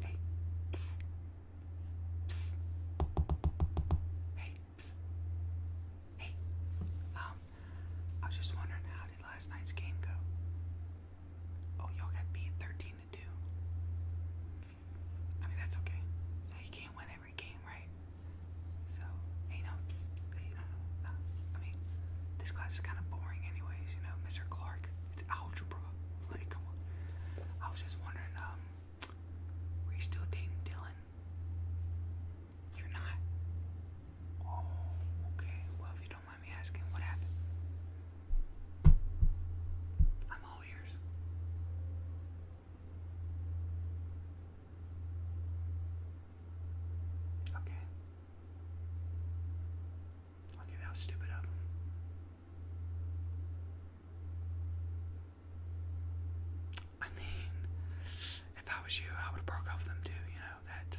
Hey, psst. Psst. Hey, Hey. Um, I was just wondering how did last night's game go? Oh, y'all got beat 13 to 2. I mean, that's okay. You can't win every game, right? So, you know, psst, psst, no, I mean, this class is kind of boring anyways, you know, Mr. Clark. It's algebra. Like, I was just wondering, um, were you still dating Dylan? You're not. Oh, okay. Well, if you don't mind me asking, what happened? I'm all ears. Okay. Okay, that was stupid of I mean, if I was you, I would have broke up with him too. You know that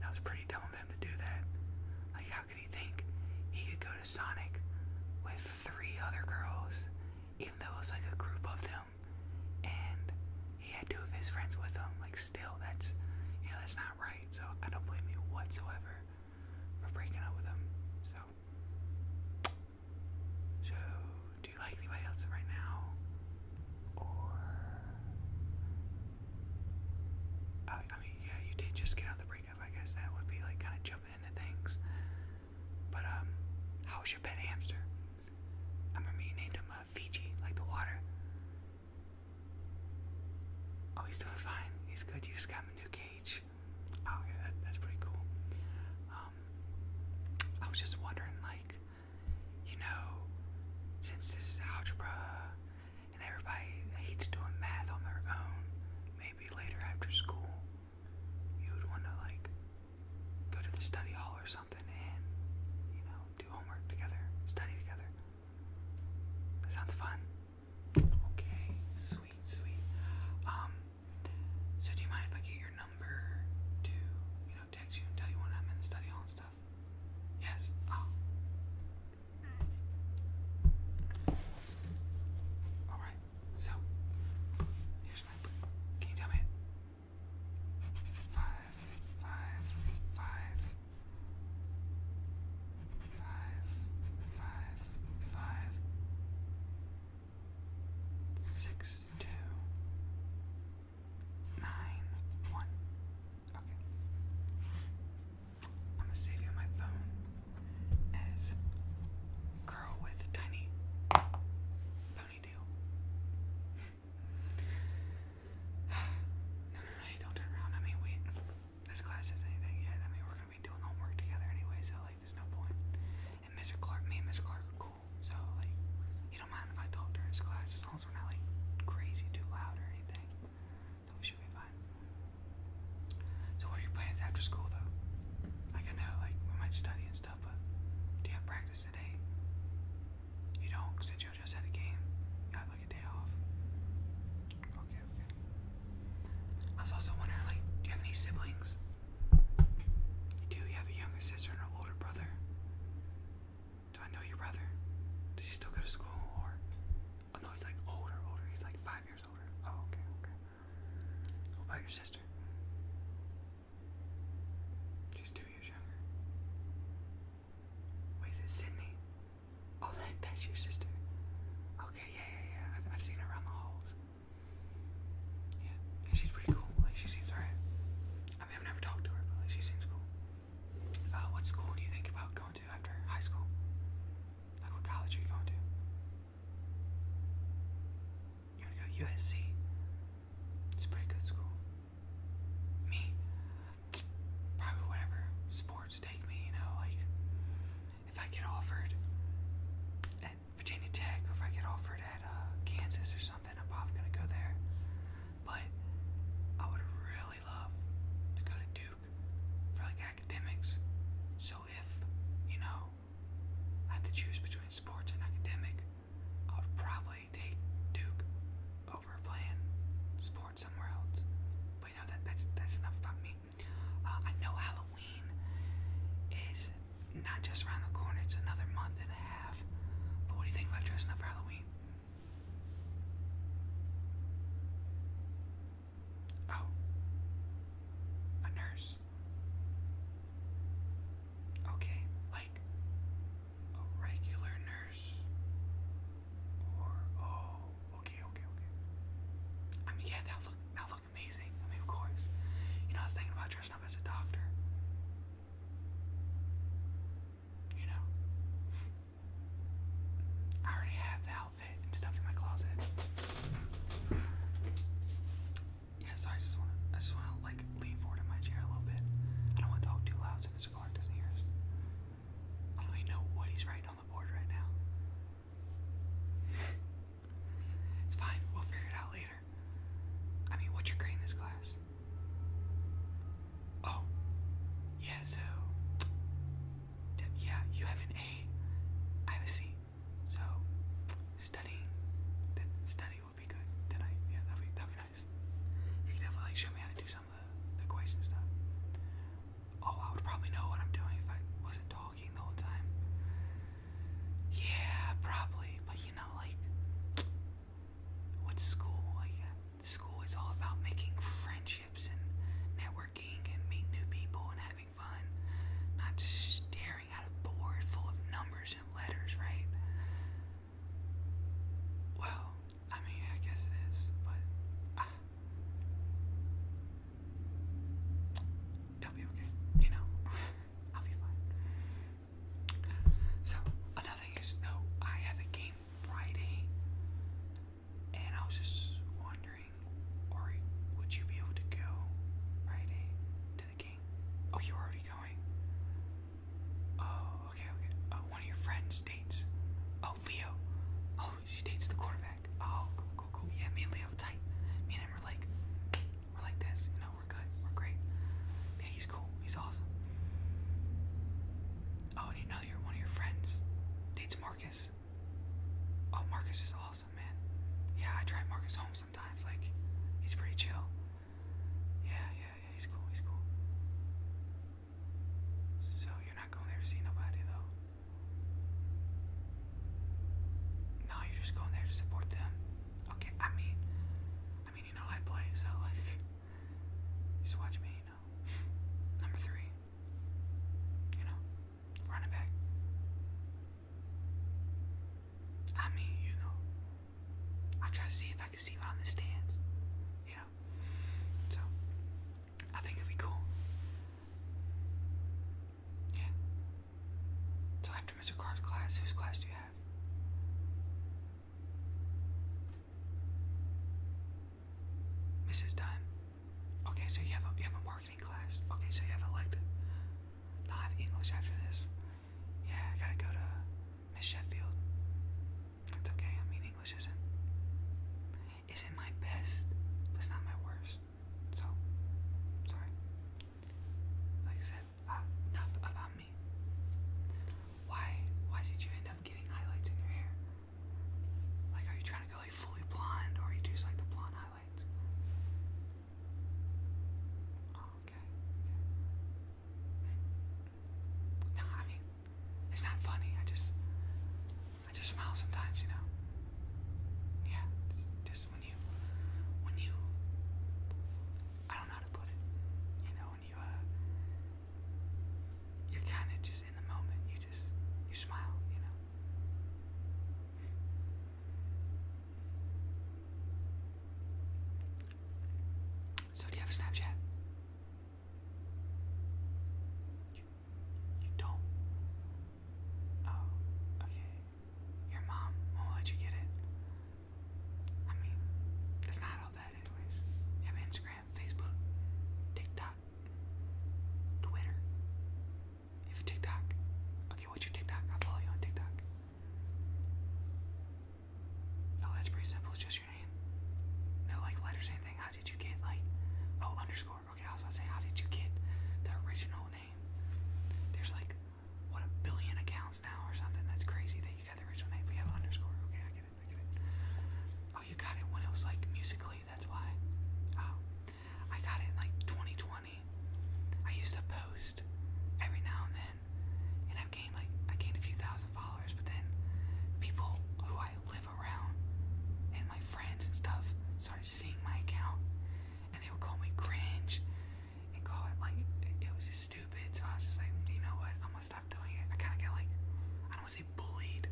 that was pretty dumb of him to do that. Like, how could he think he could go to Sonic with three other girls, even though it was like a group of them, and he had two of his friends with him? Like, still, that's you know that's not right. So I don't blame you whatsoever for breaking up with him. So, so do you like anybody else right now? Or, I, mean, yeah, you did just get out the breakup. I guess that would be like kind of jumping into things. But um, how was your pet hamster? I remember you named him uh, Fiji, like the water. Oh, he's doing fine. He's good. You just got him a new cage. Oh, yeah, that's pretty cool. Um, I was just wondering, like, you know, since this is algebra and everybody hates doing math on their own, maybe later after school, you would want to, like, go to the study hall or something and, you know, do homework together, study together. That sounds fun. Okay, sweet, sweet. Um, so do you mind if I get your number to, you know, text you and tell you when I'm in the study hall and stuff? Yes. Oh. All right. So here's my Can you tell me? Five, five, five, five, five, five, six, two, nine, one. Okay. I'm gonna save you my phone as girl with tiny ponytail. no, no, no, don't turn around. I mean, wait this class has anything yet. I mean, we're gonna be doing homework together anyway, so like, there's no point. And Mr. Clark, me and Mr. Clark are cool, so like, you don't mind if I talk during his class as long as we're not like crazy too loud or anything. Then we should be fine. So what are your plans after school, though? Like I know, like we might study and stuff, but do you have practice today? You don't, since you just had a game. I was also wondering, like, do you have any siblings? do. You have a younger sister and an older brother. Do I know your brother? Does he still go to school, or? Oh no, he's like older, older. He's like five years older. Oh, okay, okay. What about your sister? She's two years younger. Wait, it Sydney? Oh, that, that's your sister. Okay, yeah, yeah, yeah. I've, I've seen her around the halls. Yeah, she's pretty cool. Like, she seems alright. I mean, I've never talked to her, but like, she seems cool. Uh, what school do you think about going to after high school? Like, what college are you going to? You wanna go to USC? It's a pretty good school. Me? probably whatever sports take me, you know, like if I get offered at Virginia Tech or if I get offered at uh, Kansas or something, I'm probably gonna go there. But I would really love to go to Duke for like academics. So if, you know, I have to choose between sports and academic, I would probably take Duke over playing sports somewhere else. But you that that's that's enough about me. Uh, I know Halloween is not just around the corner; it's another month and a half. But what do you think about dressing up for Halloween? Oh, a nurse. Okay, like a regular nurse oh, okay, okay, okay. I mean, yeah, that look that look amazing. I mean, of course. You know, I was thinking about dressing up as a doctor. You know, I already have the outfit and stuff in my closet. Yeah, I just want to, I just want to like lean forward in my chair a little bit. I don't want to talk too loud so Mr. Clark doesn't hear I don't even know what he's writing it's fine, we'll figure it out later. I mean, what's your grade in this class? Oh, yeah, so. Yeah, you have an A. I have a C. So, studying, study will be good tonight. Yeah, that'll be, nice. You can definitely show me how to do something some stuff. Oh, I would probably know what I'm doing if I wasn't talking the whole time. Yeah, probably. But you know, like, what's school? Like, school is all about making friendships and networking and meeting new people and having fun, not staring at a board full of numbers and letters, right? Well, I mean, I guess it is, but ah. it'll be okay. You know, I'll be fine. So another thing is, though, I have a game Friday, and I was just wondering, would you be able to go Friday to the game? Oh, you're already going. Oh, okay, okay. Uh, of your friends dates. Oh, Leo. Oh, she dates the quarterback. Oh, cool, cool, cool. Yeah, me and Leo tight. Me and him are like, we're like this. You we're good. We're great. Yeah, he's cool. He's awesome. Oh, and you know you're one of your friends dates Marcus. Oh, Marcus is awesome, man. Yeah, I drive Marcus home sometimes. Like, he's pretty chill. Yeah, yeah, yeah. He's cool. He's cool. So you're not going there to see nobody though. No, you're just going there to support them. Okay, I mean, I mean, you know, I play, so just watch me, you know. Number three, you know, running back. I mean, you know, I try to see if I can see him the stands, you know. So, I think it'd be cool. Yeah. So after Mr. Carr's class, whose class do you have? Mrs. Dunn. Okay, so you have you have a marketing class. Okay, so you have elective. No, I have English after this. Yeah, I gotta go to Miss Sheffield. It's okay, I mean English isn't isn't my best, but it's not my worst. So sorry. Like I said, uh, enough about me. Why why did you end up getting highlights in your hair? Like are you trying to go like fully blonde or you just like the blonde highlights? Oh, okay. No, I mean, it's not funny. I just, I just smile sometimes, you know. Yeah, just, when you, when you, I don't know how to put it. You know, when you, uh, you're kind of just in the moment. You just, you smile, you know. So do you have a Snapchat? You, don't. Oh, okay. Your mom won't let get it. I mean, it's not all bad, anyways. You have Instagram, Facebook, TikTok, Twitter. You have TikTok. Okay, what's your TikTok? I'll follow you on TikTok. Oh, that's pretty simple. It's just name? No, like letters, anything. How did you get like? Oh, underscore. Okay, I was about to say, how did you get the original name? There's like what a billion accounts now or something. That's crazy that you got the original name. We have underscore. Okay, I get it. I get it. Oh, you got it when it was like musically. That's why. Oh, I got it in like 2020. I used to post every now and then, and i gained like I gained a few thousand followers. But then people who I live around, and my friends and stuff started seeing my account, and they would call me cringe and call it like it was just stupid. So I was just like, you know what? I'm gonna stop doing it. I kind of got like, I don't want to say bullied,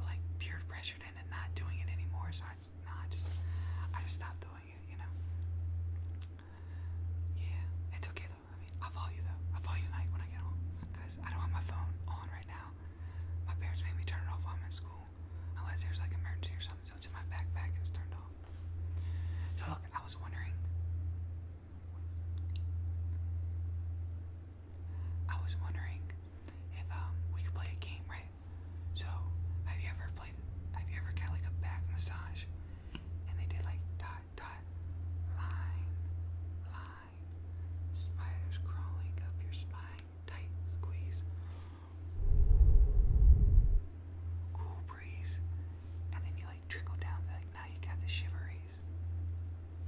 but like peer pressured into not doing it anymore. So I, nah, I just, I just stopped doing it. You know? Yeah, it's okay. I will follow you though. I'll follow you tonight when I get home. Cause I don't have my phone on right now. My parents made me turn it off while I'm in school, unless there's like an emergency or something. So it's in my backpack and it's turned off. So look, I was wondering. I was wondering if um we could play a game, right? So have you ever played? Have you ever got like a back massage, and they did like dot dot line line? Spiders crawling up your spine. Tight squeeze. Cool breeze. And then you like trickle down, like now you got the shiveries.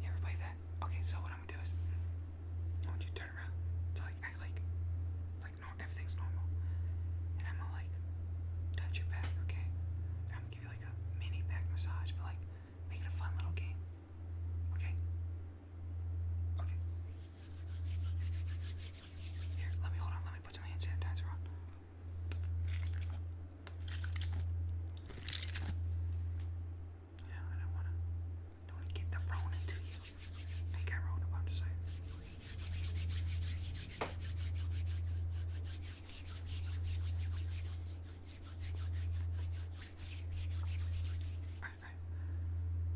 You ever play that? Okay, so what I'm gonna do is I want you to turn around to like act like like no everything's normal. And I'm gonna like touch your back, okay? And I'm gonna give you like a mini back massage, but like Make it a fun little game. Okay? Okay. Here, let me hold on. Let me put some hand sanitizer on. Yeah, I don't wanna, don't wanna get the Rona to you. I think I about to say.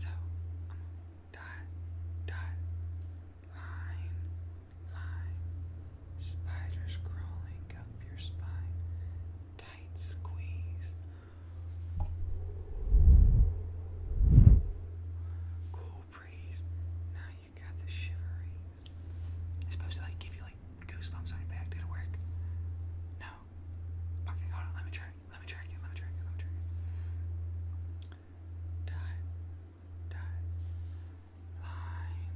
Um, dot, dot, line, line, spiders crawling up your spine, tight squeeze. Cool breeze. Now you got the shivery supposed to like give you like goosebumps on your back. Did it work? No. Okay, hold on. Let me try. Let me try again. Let me try again. Let me try Die. Die. Line.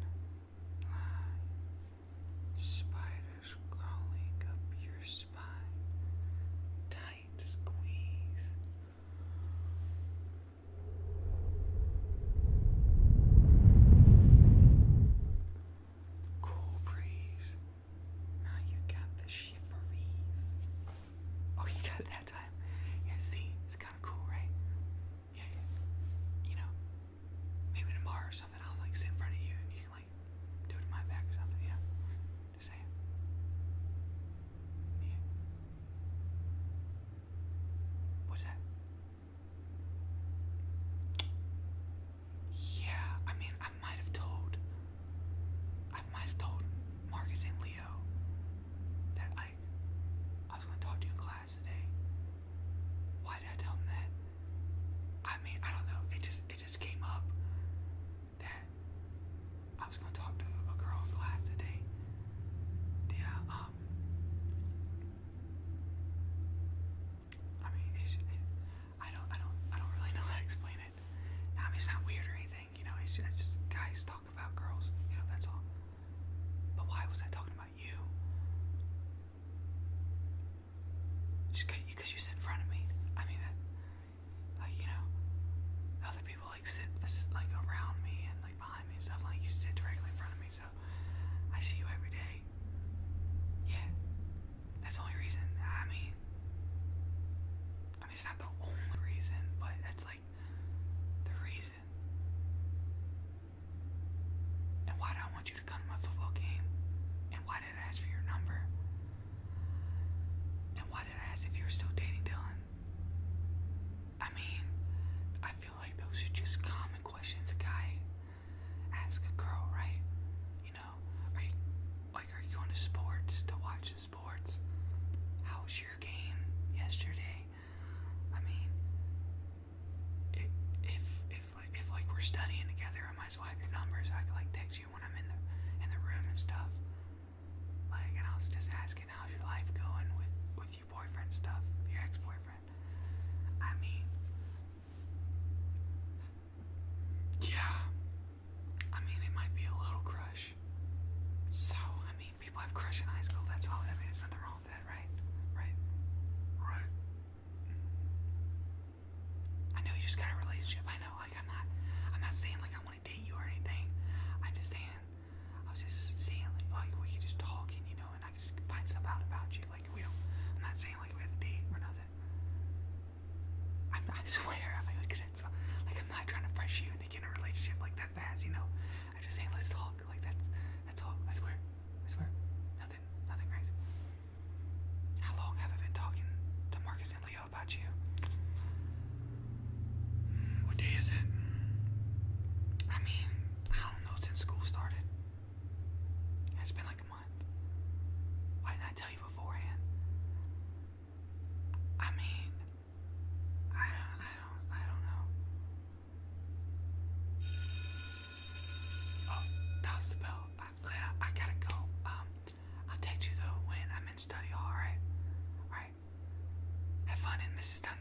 Spiders crawling up your spine. Tight squeeze. Cool breeze. Now you got the shiveries. Oh, you got it that time. Yeah, see, it's kind of cool, right? Yeah, yeah. You know, maybe tomorrow or something, I'll like sit in front of you and you can like do it in my back or something, Yeah. What's that? Yeah, I mean, I might have told. I might have told Marcus and Leo that I, I was gonna talk to you in class today. Why did I tell them that? I mean, I don't know. It just, it just came up that I was gonna talk to a girl in class today. Yeah, um, I mean, I don't, I don't, I don't really know how to explain it. Tommy's not weird or anything, you know. It's just, guys talk about girls, you know. That's all. But why was I talking about you? Just because you sit in front of me. I mean, like you know, other people like sit like around me and like behind me and stuff. Like you sit directly in front of me, so I see you every day. Yeah, that's the only reason. I mean, I mean, it's not the only reason, but that's like the reason. And why do I want you to come to my football game? And why did I ask for your number? And why did I ask if you were still dating Dylan? I mean, I feel like those are just common questions guy ask a girl, right? You know, are you like are you going to sports to watch the sports? How was your game yesterday? I mean, it, if if like if like we're studying together, I might as well have your number so I can like text you when I'm in the in the room and stuff. Like, and I was just asking how's your life going with with boyfriend stuff, your ex-boyfriend. I mean, yeah. I mean, it might be a little crush. So, I mean, people have crushes in high school. That's all. I mean, there's nothing wrong with that, right? Right? Right? I know you just got a relationship. I know. Like, I'm not. I'm not saying like I want to date you or anything. I'm just saying. I was just saying like, like oh, we could just talk you know I just find stuff out about you. Like we don't. I'm not saying like we have to date or nothing. I'm, I swear, I look at it. like I'm not trying to press you into getting a relationship like that fast. You know, I'm just saying let's talk. Like that's that's all. I swear. I swear. Nothing. Nothing crazy. How long have I been talking to Marcus and Leo about you? Hmm, what day is it? I mean, I don't know since school started. It's been like a month. Why didn't I tell you beforehand? I mean, I I don't, I don't know. Oh, that was the bell. I, I gotta go. Um, I'll text you though when I'm in study hall, alright? Alright. Have fun in Mrs. Dunn